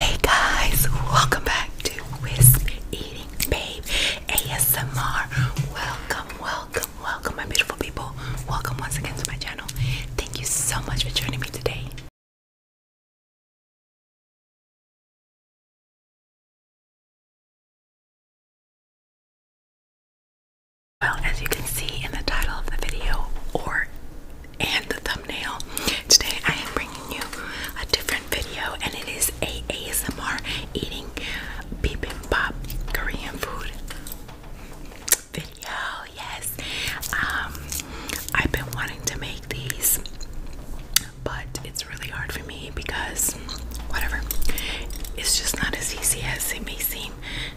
Hey guys, welcome back to Whisper Eating Babe ASMR. Welcome, welcome, welcome, my beautiful people. Welcome once again to my channel. Thank you so much for joining me today. Well, as you can see in the title of the video, or and the thumbnail. Today I am bringing you a different video and it is a ASMR eating bibimbap Korean food video. Yes. Um I've been wanting to make these but it's really hard for me because whatever. It's just not as easy as it may seem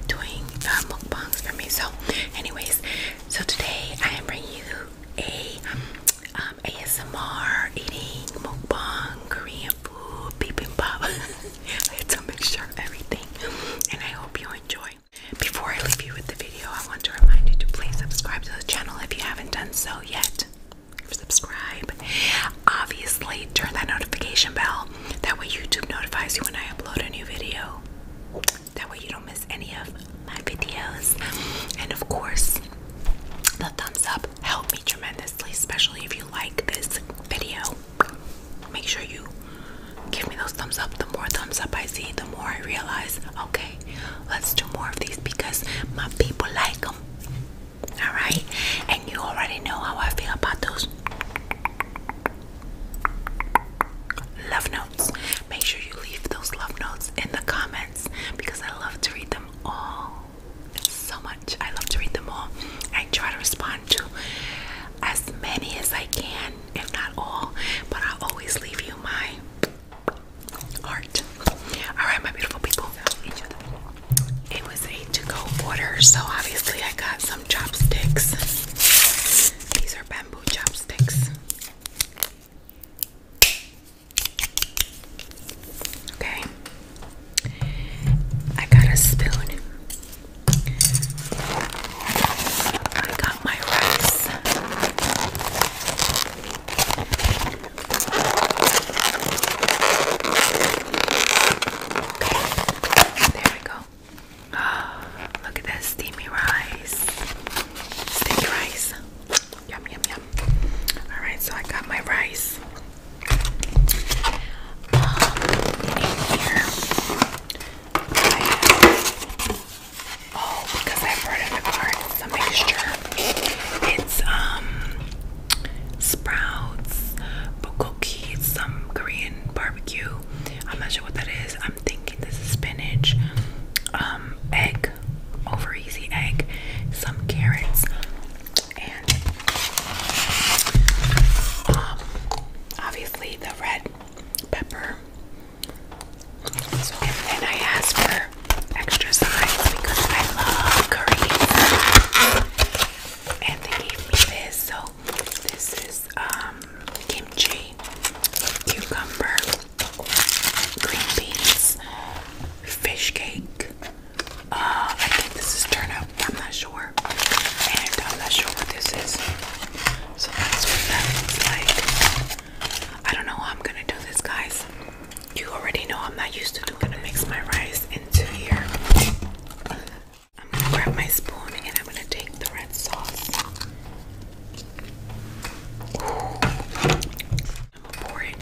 doing uh, mukbangs for me. So anyways, so today I am bringing you a um, um ASMR eating mukbang Korean food bibimbap. it's a mixture of everything, and I hope you enjoy. Before I leave you with the video, I want to remind you to please subscribe to the channel if you haven't done so yet. Subscribe. Obviously, turn that notification bell. That way, YouTube notifies you when I upload a new video. That way you don't miss any of my videos. And of course, the thumbs up help me tremendously, especially if you like this video. Make sure you give me those thumbs up. The more thumbs up I see, the more I realize, okay, let's do more of these because my people like them. Alright? And you already know how I feel about those love Make sure you leave those love notes in the comments because I love to read them all so much. I love to read them all. I try to respond to as many as I can, if not all, but I always leave you my heart. Alright, my beautiful people. It was a to-go order, so obviously I got some chopsticks. These are bamboo chopsticks. Okay. I got a spoon. I got my rice. Okay. There we go. Oh, look at that steamy rice. Sticky rice. Yum, yum, yum. All right, so I got my rice. oh, because I brought in the car, it's mixture. It's, um, sprouts, bulgogi, some Korean barbecue. I'm not sure what that I'm thinking this is spinach, um, egg, over easy egg, some carrots, and um, obviously the red pepper. and then I asked for extra sides because I love curry. And they gave me this. So this is um, kimchi cucumber, green beans, fish cake. Uh, I think this is turnip. I'm not sure, and I'm not sure what this is. So that's what that looks like. I don't know how I'm gonna do this, guys. You already know I'm not used to doing. I'm gonna mix my rice into here. I'm gonna grab my spoon and I'm gonna take the red sauce pour it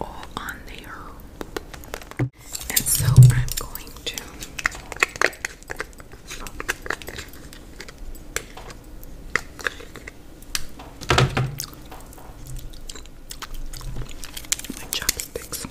all on the And so I'm going to my chopsticks.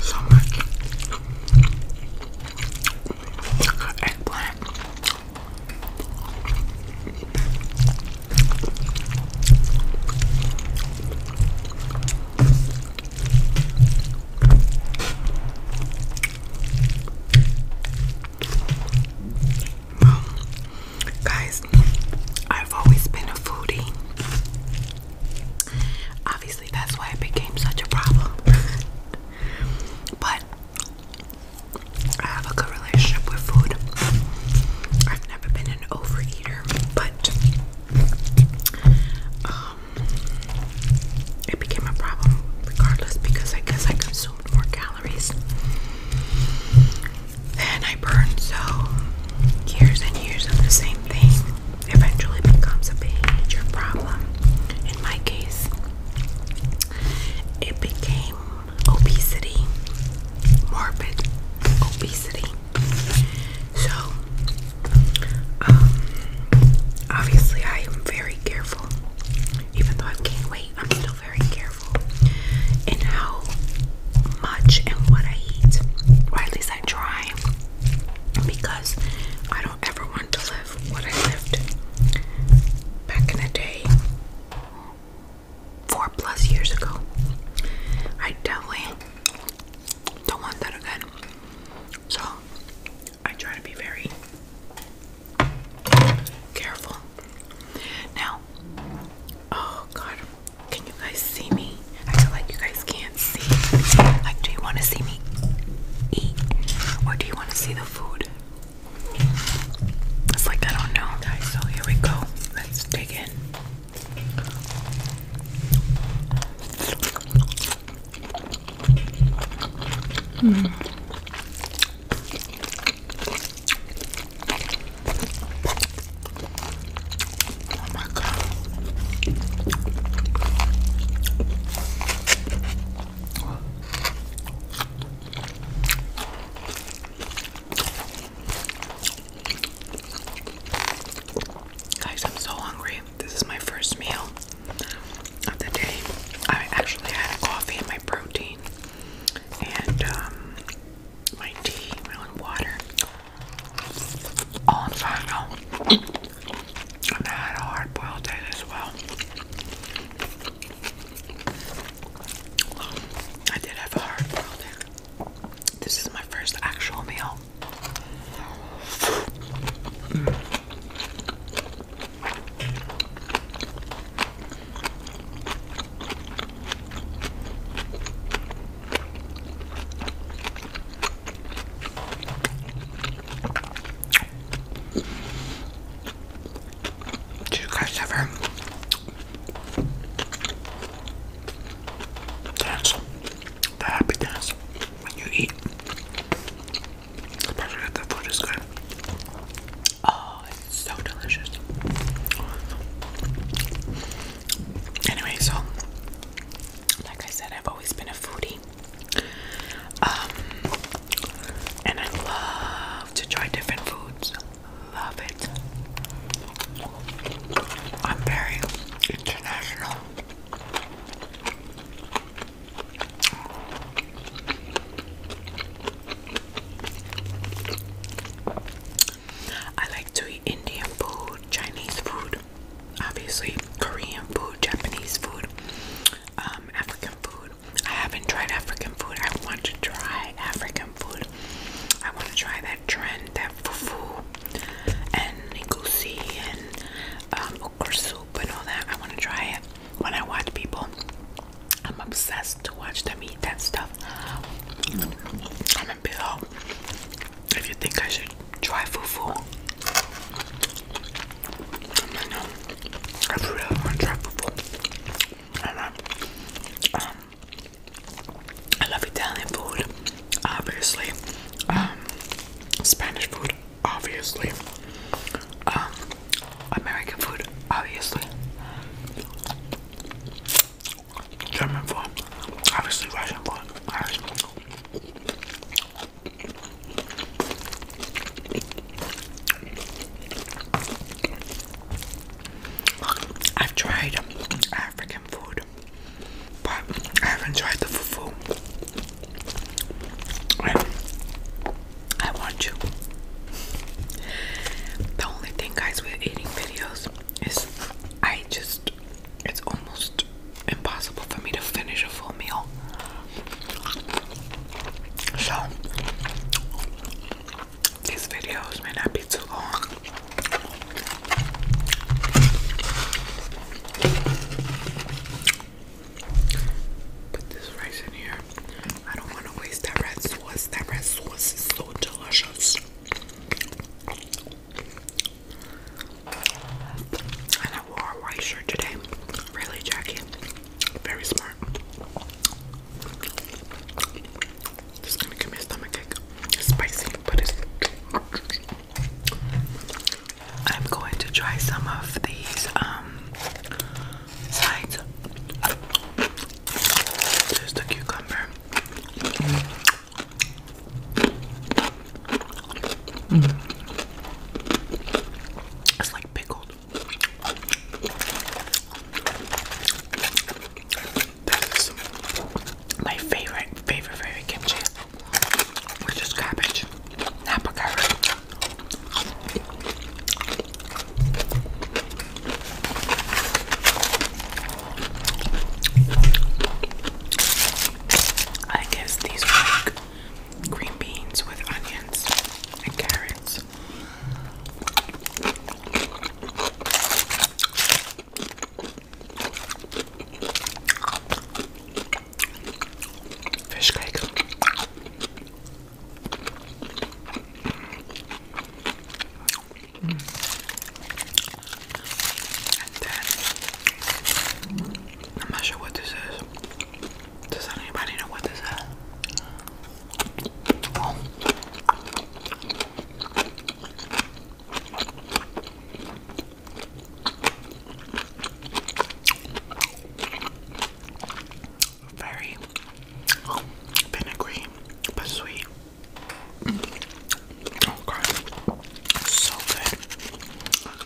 So much eggplant. guys, I've always been a foodie. Obviously, that's why it became such a problem. but I have a good relationship with food. I've never been an overeater, but um, it became a problem regardless because I guess I consumed more calories. Then I burn so years and years of the same thing eventually becomes a major problem. In my case, it became obesity, morbid obesity. So, um, obviously, I am very careful. Even though i can't wait, I'm still very careful in how much and what I eat, at least 100% because I don't ever want to live what I lived back in the day four plus years ago. I definitely don't want that again. So I try to be very careful. Now, oh god, can you guys see me? I feel like you guys can't see. Like, do you want to see me eat? Or do you want to see the food? It's like, I don't know, guys. So, here we go. Let's dig in. Hmm. Oh my god. Guys, I'm so hungry. This is my first meal of the day. I actually had coffee my protein and um, my tea, my water on final. I had a hard boiled egg as well. I did have a hard boiled egg. This is my first actual meal. Do you guys ever dance the happy dance when you eat? the food is good. Oh, it's so delicious. Anyway, so like I said, I've always been a foodie. Um, and I love to try different foods. Love it. I'm very international. I like to eat Indian food, Chinese food, obviously, Korean food, Japanese food, um, African food. I haven't tried African food. I want to try African food. I want to try that trend, that fufu and nikusi and um, okra soup and all that. I want to try it. When I watch people, I'm obsessed to watch them eat that stuff. Comment below if you think I should try fufu. I know. I really want to try fufu. Um, I, love Italian food, obviously. Um, Spanish food, obviously. Um, American food, obviously. German food, obviously Russian food. I've tried African food, but I haven't tried the fufu. I want you. The only thing, guys, with eating videos is I just it's almost impossible for me to finish a full meal. So, these videos may not be too long. Put this rice in here. I don't want to waste that red sauce. That red sauce is so delicious. And I wore a white shirt today. Really, Jackie. Very smart. Just gonna give me a stomach spicy, but it's. I'm going to try some of these um, sides. There's the cucumber. Mm. It's like pickled. That's my favorite, favorite, favorite kimchi, which is cabbage, napa carrot. I guess these are green beans with onions and carrots. Fish cake. I'm not sure what this is. Does anybody know what this is? Very vinegary, but sweet. Oh god, so good. That, that.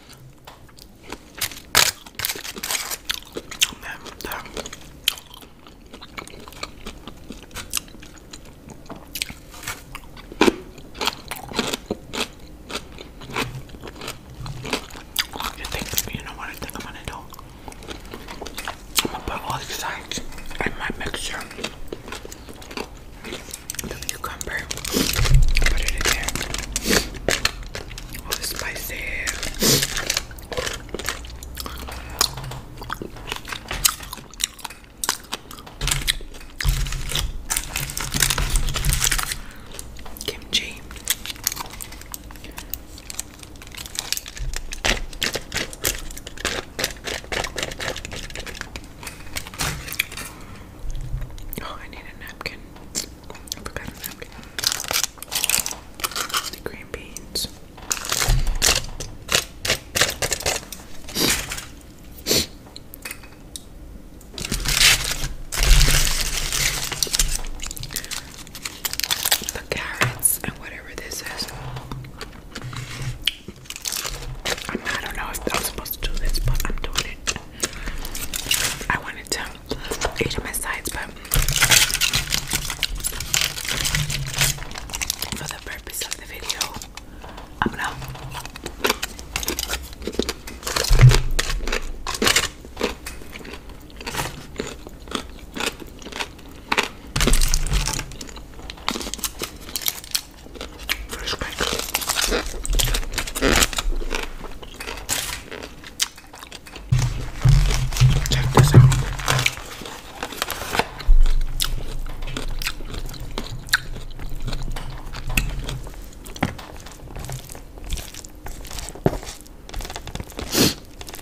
You know what I I'm gonna do? I'm gonna put all these sides in my mixture the cucumber, put it in there, all the Kimchi. Oh, I need a napkin. forgot a napkin. The green beans. The carrots and whatever this is. I don't know if I was supposed to do this, but I'm doing it. I wanted to eat my sides, but for the purpose of the video, I'm gonna. Fresh cake.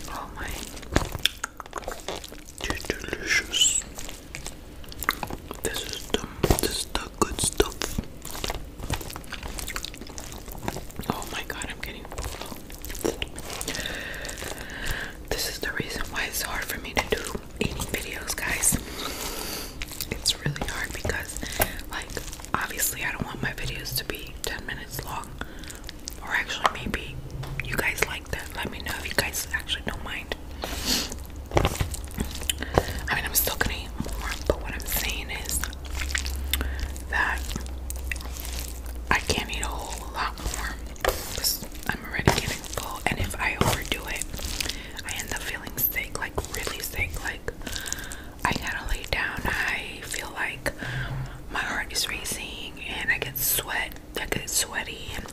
Oh my, too delicious. This is the this is the good stuff. Oh my god, I'm getting This is the reason why it's hard for me to do eating videos, guys. It's really hard because like obviously I don't want my videos to be 10 minutes long. Or actually maybe you guys like. Let me know if you guys actually don't mind. I mean, I'm still gonna eat more, but what I'm saying is that I can't eat a whole lot more because I'm already getting full, and if I overdo it, I end up feeling sick like really sick. Like, I gotta lay down, I feel like my heart is racing, and I get sweat, I get sweaty, and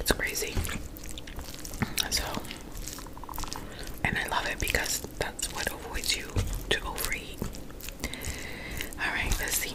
it's crazy. So, and I love it because that's what avoids you to overeat. All right, let's see.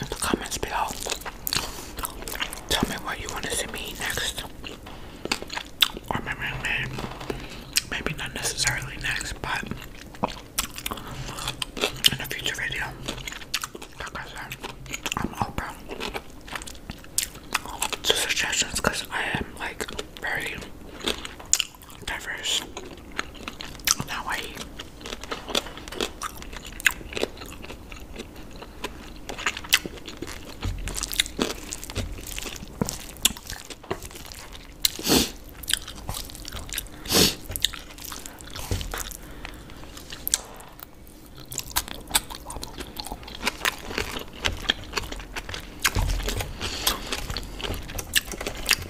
in the comments below. Tell me what you want to see me eat next. Or maybe, maybe, not necessarily next, but in a future video. I am open to suggestions because I am like very diverse in Hawaii.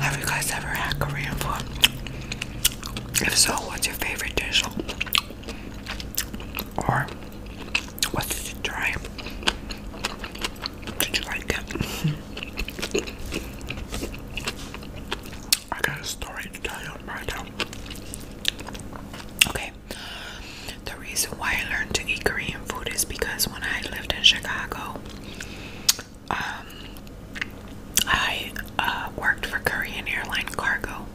Have you guys ever had Korean food? If so, what's your favorite dish? Or what did you try? Did you like it? I got a story to tell you right now. Okay. The reason why I learned to eat Korean food is because when I lived in Chicago, um, I uh, worked for Korean Airline Cargo.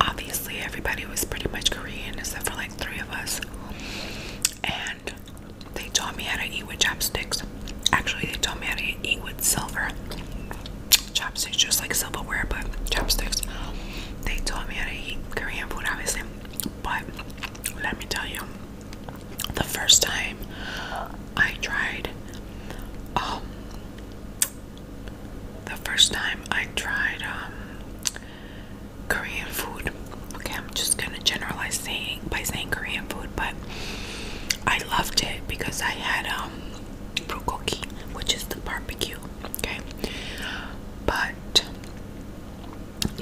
Obviously, everybody was pretty much Korean except for like three of us, and they taught me how to eat with chopsticks. Actually, they taught me how to eat with silver chopsticks, just like silverware, but chopsticks. They taught me how to eat Korean food, obviously. But let me tell you, the first time I tried, um, the first time I tried um, Korean food. Okay, I'm just gonna generalize saying by saying Korean food, but I loved it because I had um, bulgogi, which is the barbecue okay? But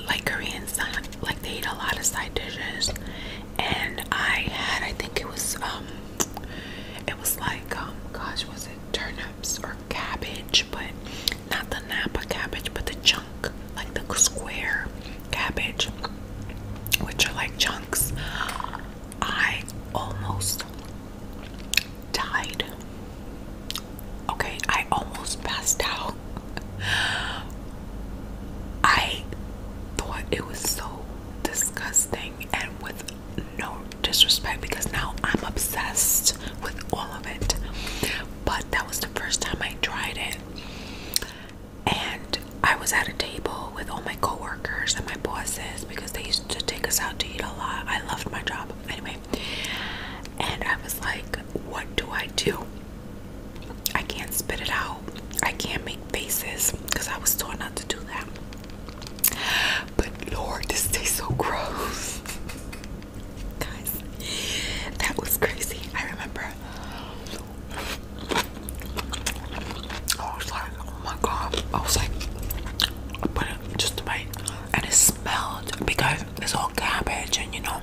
like Korean uh, like they eat a lot of side dishes, and I had, I think it was, um, it was like, um, gosh, was it turnips or cabbage? But not the Napa cabbage, but the chunk, like the square cabbage, which are like chunks. I almost died. Okay, I almost passed out. I thought it was so disgusting and with no disrespect because now I'm obsessed with all of it. But that was the first time I tried it. And I was at a table with all my coworkers and my bosses because they used to take us out to eat a lot. I loved my job anyway. And I was like, what do I do? I can't spit it out. I can't make faces because I was told not to do that. But Lord, this tastes so gross. Guys, that was crazy. I remember. I was like, oh my god. I was like, I put it just to bite and it smelled because it's all cabbage and you know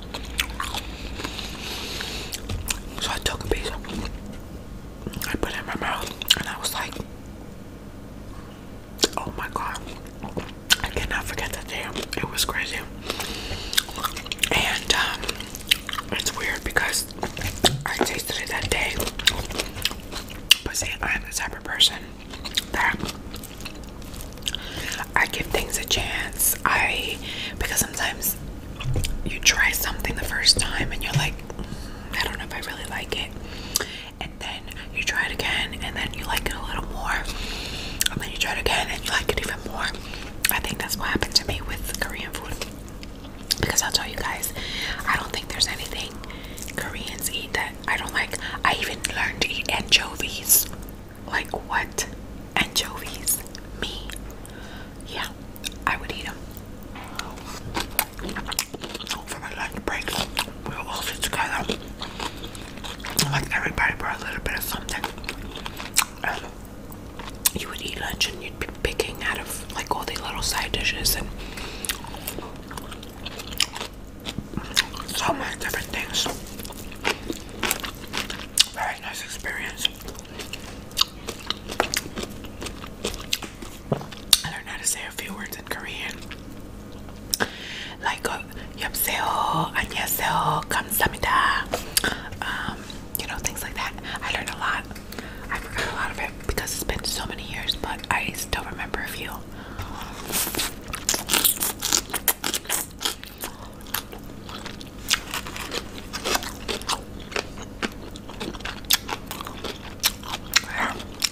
so I took a piece I put it in my mouth and I was like oh my god I cannot forget that day it was crazy and um, it's weird because I tasted it that day but see I'm the type of person that I give things a chance. I because sometimes you try something the first time and you're like, mm, I don't know if I really like it. And then you try it again and then you like it a little more. And then you try it again and you like it even more. I think that's what happened to me with Korean food. Because I'll tell you guys, I don't think there's anything Koreans eat that I don't like. I even learned to eat anchovies. Like what? Anchovies? Me? Yeah, I would eat them. For my lunch break, we will all sit together. Like everybody brought a little bit of something. Um, you would eat lunch and you'd be picking out of like all the little side dishes and so many different things. Very nice experience. I learned how to say a few words in Korean. Like, yopseo, anyaseo, kamsamida. Um, you know, things like that. I learned a lot. I forgot a lot of it because it's been so many years, but I still remember a few now.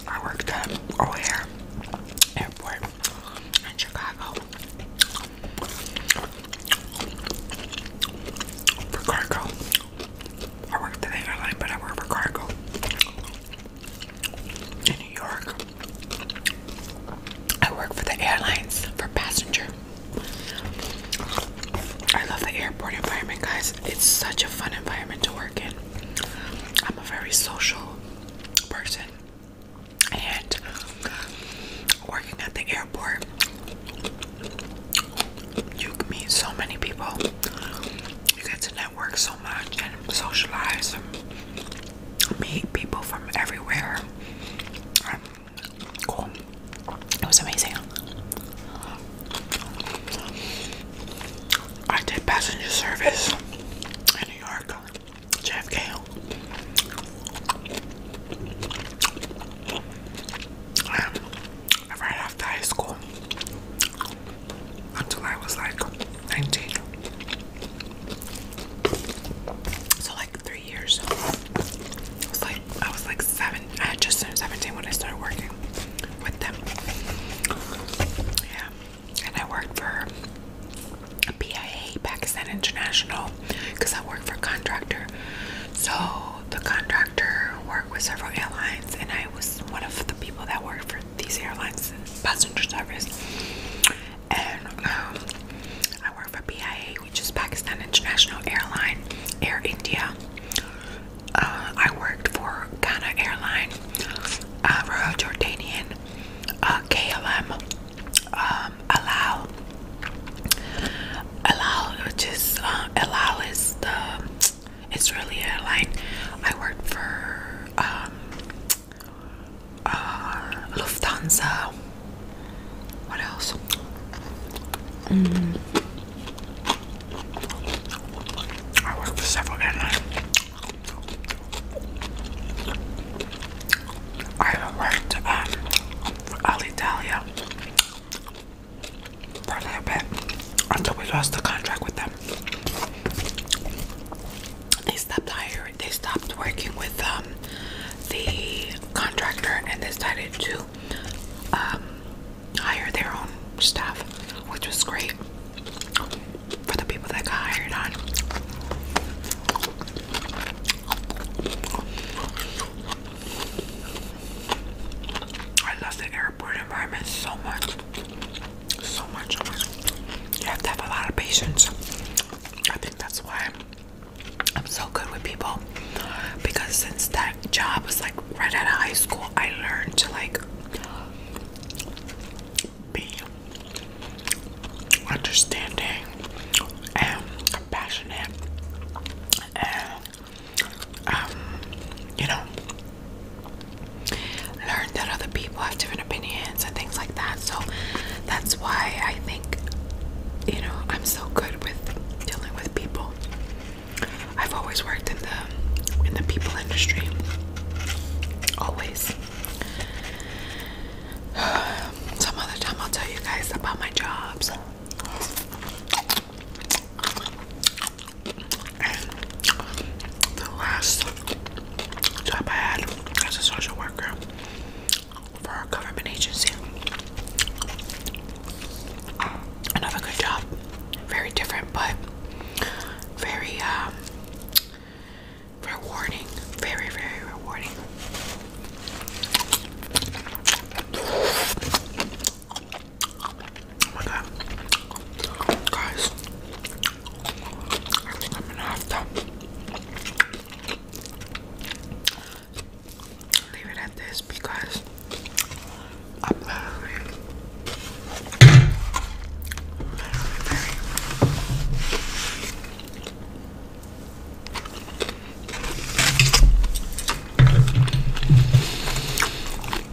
I worked at O'Hare Airport in Chicago for cargo. I worked at airline, but I worked for cargo in New York. I work for the airlines for passenger. I love the airport environment, guys. It's such a fun environment to work in. I'm a very social person, and working at the airport, you can meet so many people. You get to know work so much and socialize and meet people from everywhere. Um, it was amazing. I did passenger service in New York, Jeff Gail. right after high school, until I was like 19. So like three years. I was like I was like seven. I had just turned 17 when I started working with them. Yeah. And I worked for PIA, Pakistan International, because I worked for a contractor. So the contractor worked with several airlines, and I was one of the people that worked for these airlines passenger service and um, I work for BIA, which is Pakistan International Airline Air India uh, I worked for Ghana Airline uh, Royal Jordanian uh, KLM um, Alal which is uh, Alal is the Israeli airline. I worked for um, uh, Lufthansa. What else? Mm. I worked for several airlines. I worked um, for Alitalia for a little bit until we lost the contract with them. They stopped hiring. They stopped working with um, the contractor and decided to um, hire their own staff, which was great for the people that got hired on. I love the airport environment so much. So much. You have to have a lot of patience. I think that's why I'm so good with people because since that job was like right out of high school, I learned to like be understanding and compassionate and um, you know learn that other people have different opinions and things like that. So that's why I think, you know, I'm so good with dealing with people. I've always worked in the in the people industry. Always. Some other time I'll tell you guys about my jobs. And the last job I had as a social worker for a government agency. Another good job. Very different, but very um, rewarding. Very, very rewarding. Oh my god. Guys, I am gonna have to leave it at this because I'm literally, literally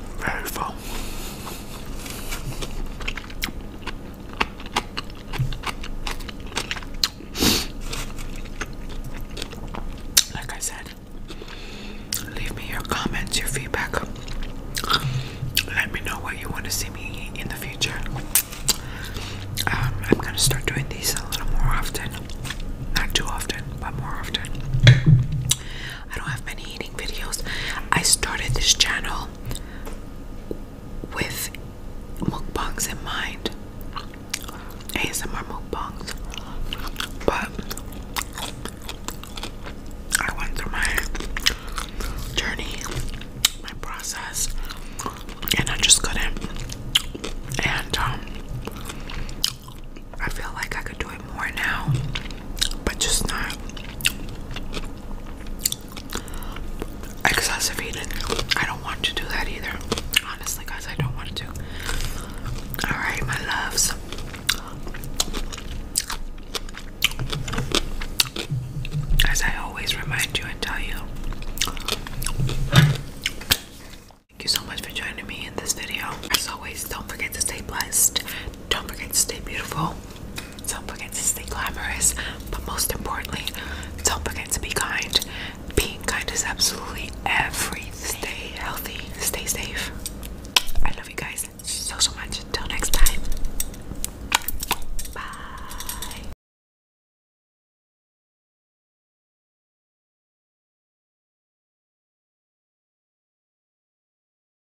very. Very full. Like I said, leave me your comments, your feedback. Let me know what you want to see me in the future. Um, I'm gonna start doing these a little more often. Not too often, but more often. I don't have many eating videos. I started this channel with mukbangs in mind. ASMR mukbangs. But I went through my journey, my process, and I just couldn't. And um, I feel like I could do it now, but just not excessive I don't want to do that either. Honestly, guys, I don't want to. Alright, my loves. As I always remind you and tell you, thank you so much for joining me in this video. As always, don't forget to stay blessed, don't forget to stay beautiful, don't forget to stay glamorous, but most importantly, don't forget to be kind. Being kind is absolutely everything. Stay healthy, stay safe. I love you guys so, so much. Until next time. Bye.